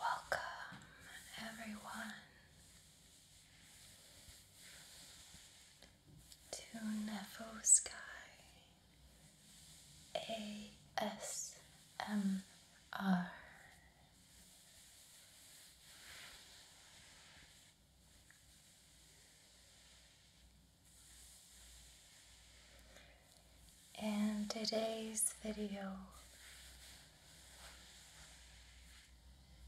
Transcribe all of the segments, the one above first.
Welcome, everyone, to Nevo Sky ASMR. And today's video,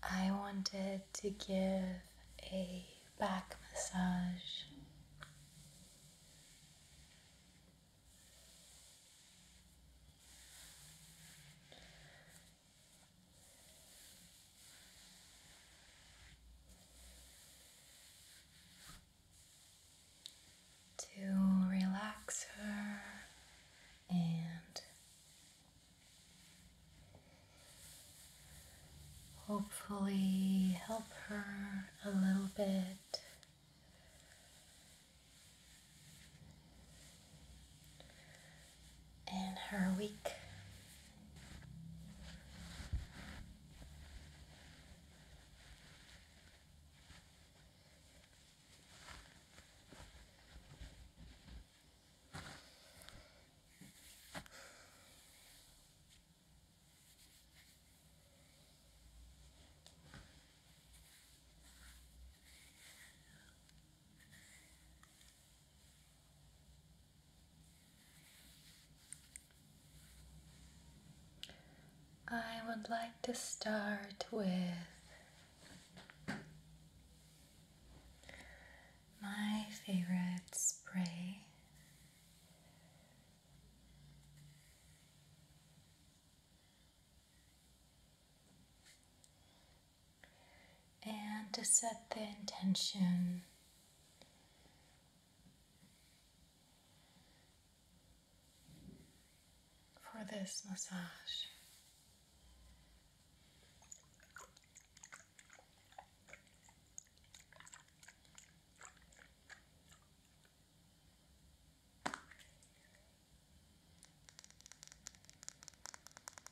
I wanted to give a back massage to relax her and hopefully help her a little bit in her week. I would like to start with my favorite spray and to set the intention for this massage.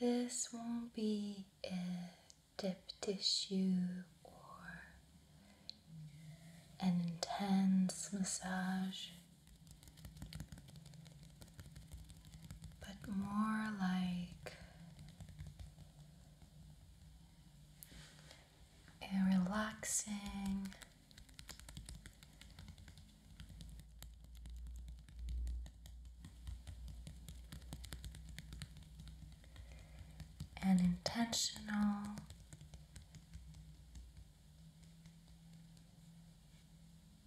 This won't be a deep tissue or an intense massage, but more like a relaxing and intentional.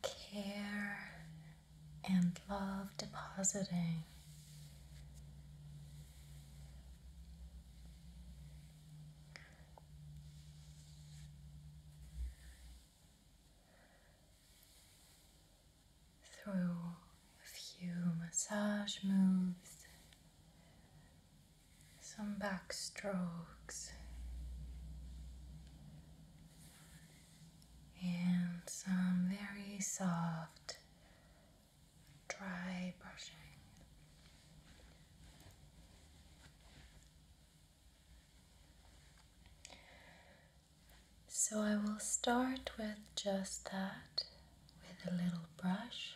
Care and love depositing through a few massage moves, some back strokes, and some very soft, dry brushing. So I will start with just that with a little brush.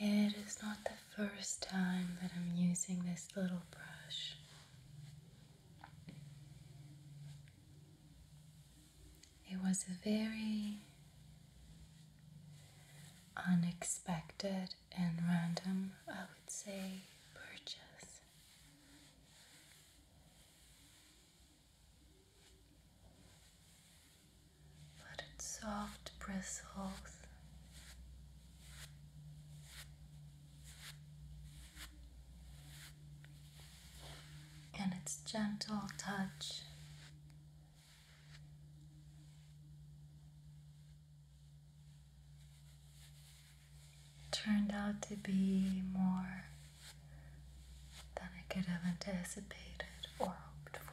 It is not the first time that I'm using this little brush. It was a very unexpected and random, I would say, purchase this. But its soft bristles and its gentle touch turned out to be more than I could have anticipated or hoped for.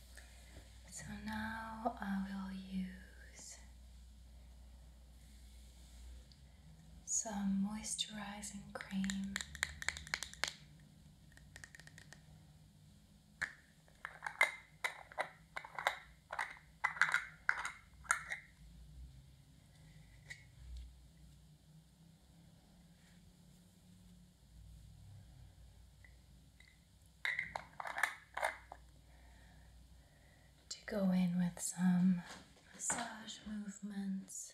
So now I will use some moisturizing cream to go in with some massage movements.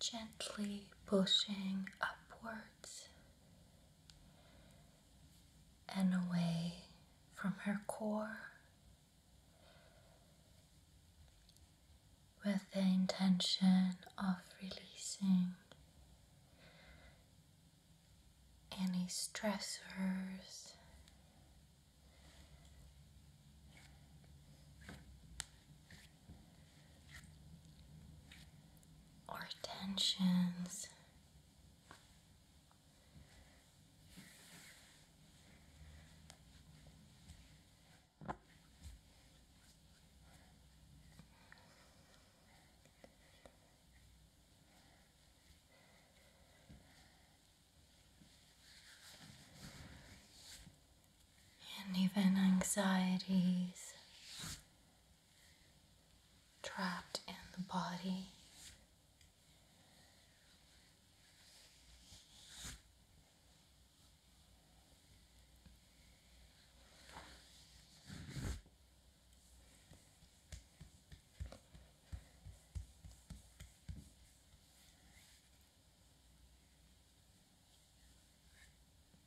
Gently pushing upwards and away from her core with the intention of releasing any stressors or tensions. And even anxieties trapped in the body.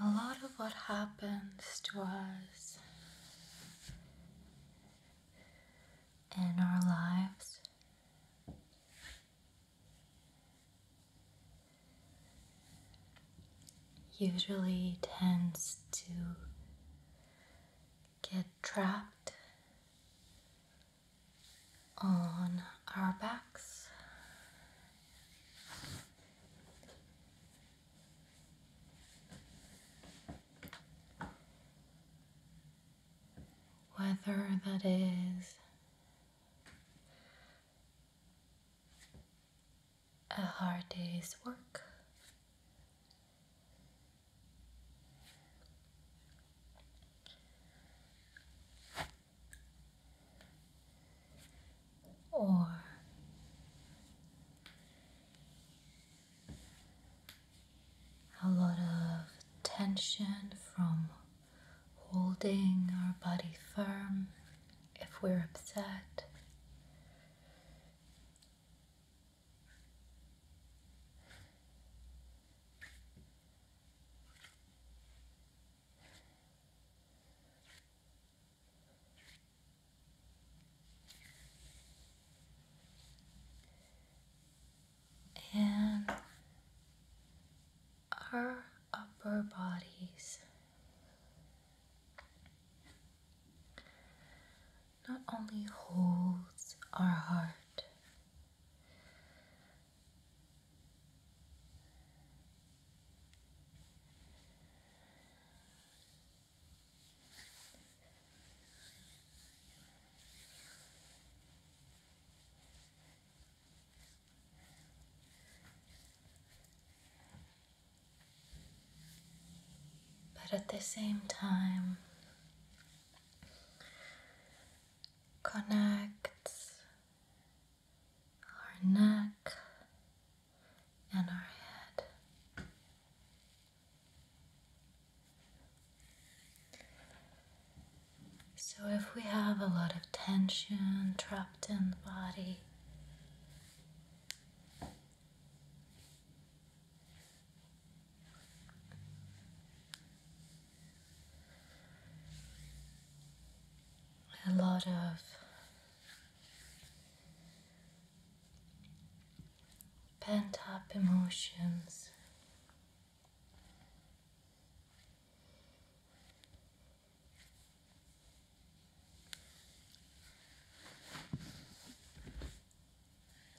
A lot of what happens to us in our lives usually tends to get trapped on our backs. Whether that is a hard day's work or a lot of tension from holding our body firm if we're upset and our upper bodies. Not only holds our heart, but at the same time, connects our neck, and our head. So, if we have a lot of tension trapped in the body, a lot of pent up emotions.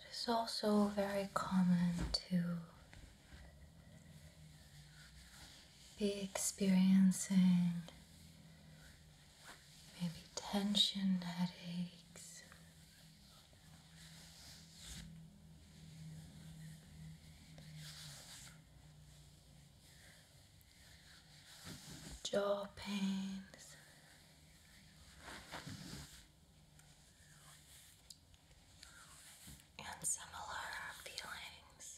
It's also very common to be experiencing maybe tension headaches. Jaw pains, and similar feelings.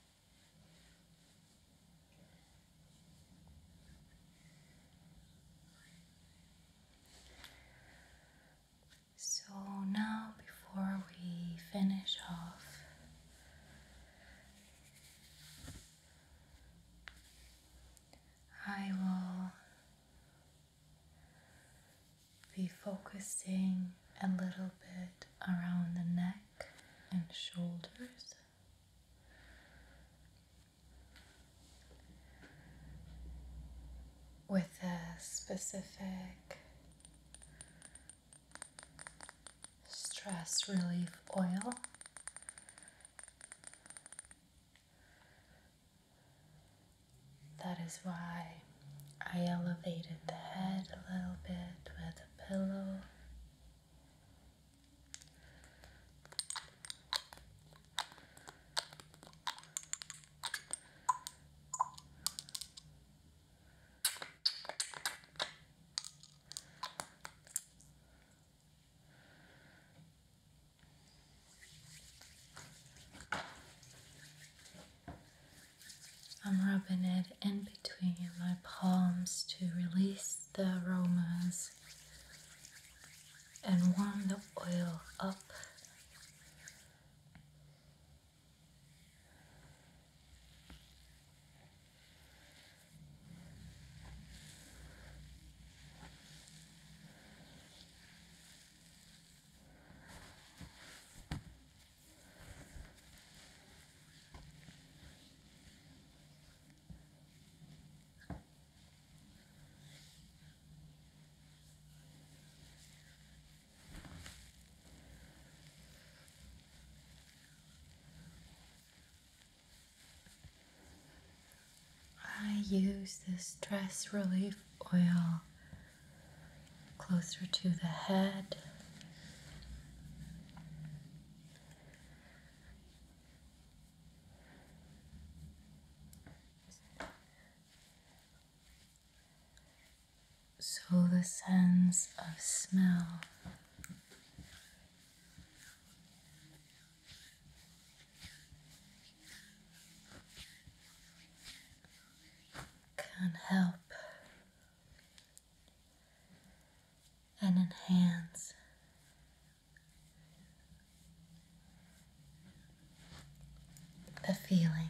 So now, before we finish off, I will be focusing a little bit around the neck and shoulders. With a specific stress relief oil. That is why I elevated the head a little bit with a pillow. I'm rubbing it in between my palms to release the aromas and warm the oil up. I use this stress relief oil closer to the head. So the sense of smell can help and enhance the feeling.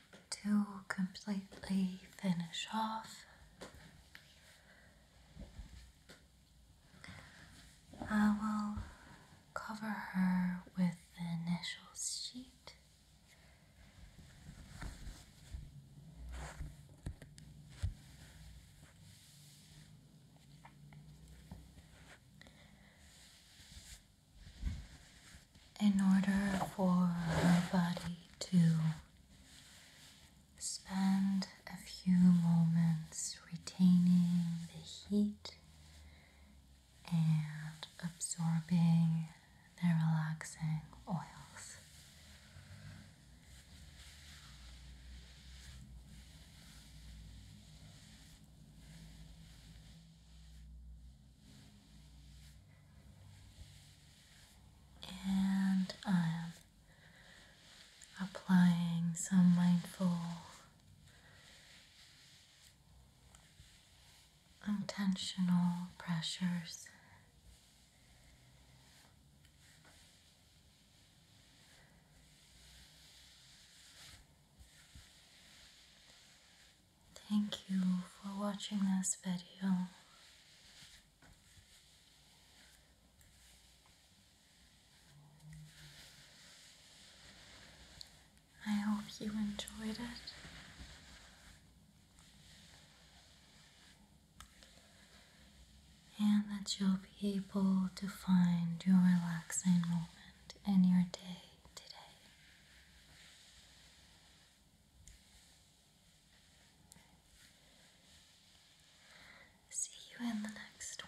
to completely finish off. I will cover her with the initial sheet in order for her body to spend a few moments retaining the heat and absorbing the relaxing oils and I am applying some mindful intentional pressures. Thank you for watching this video. I hope you enjoyed it. And that you'll be able to find your relaxing moment in your day today. See you in the next one.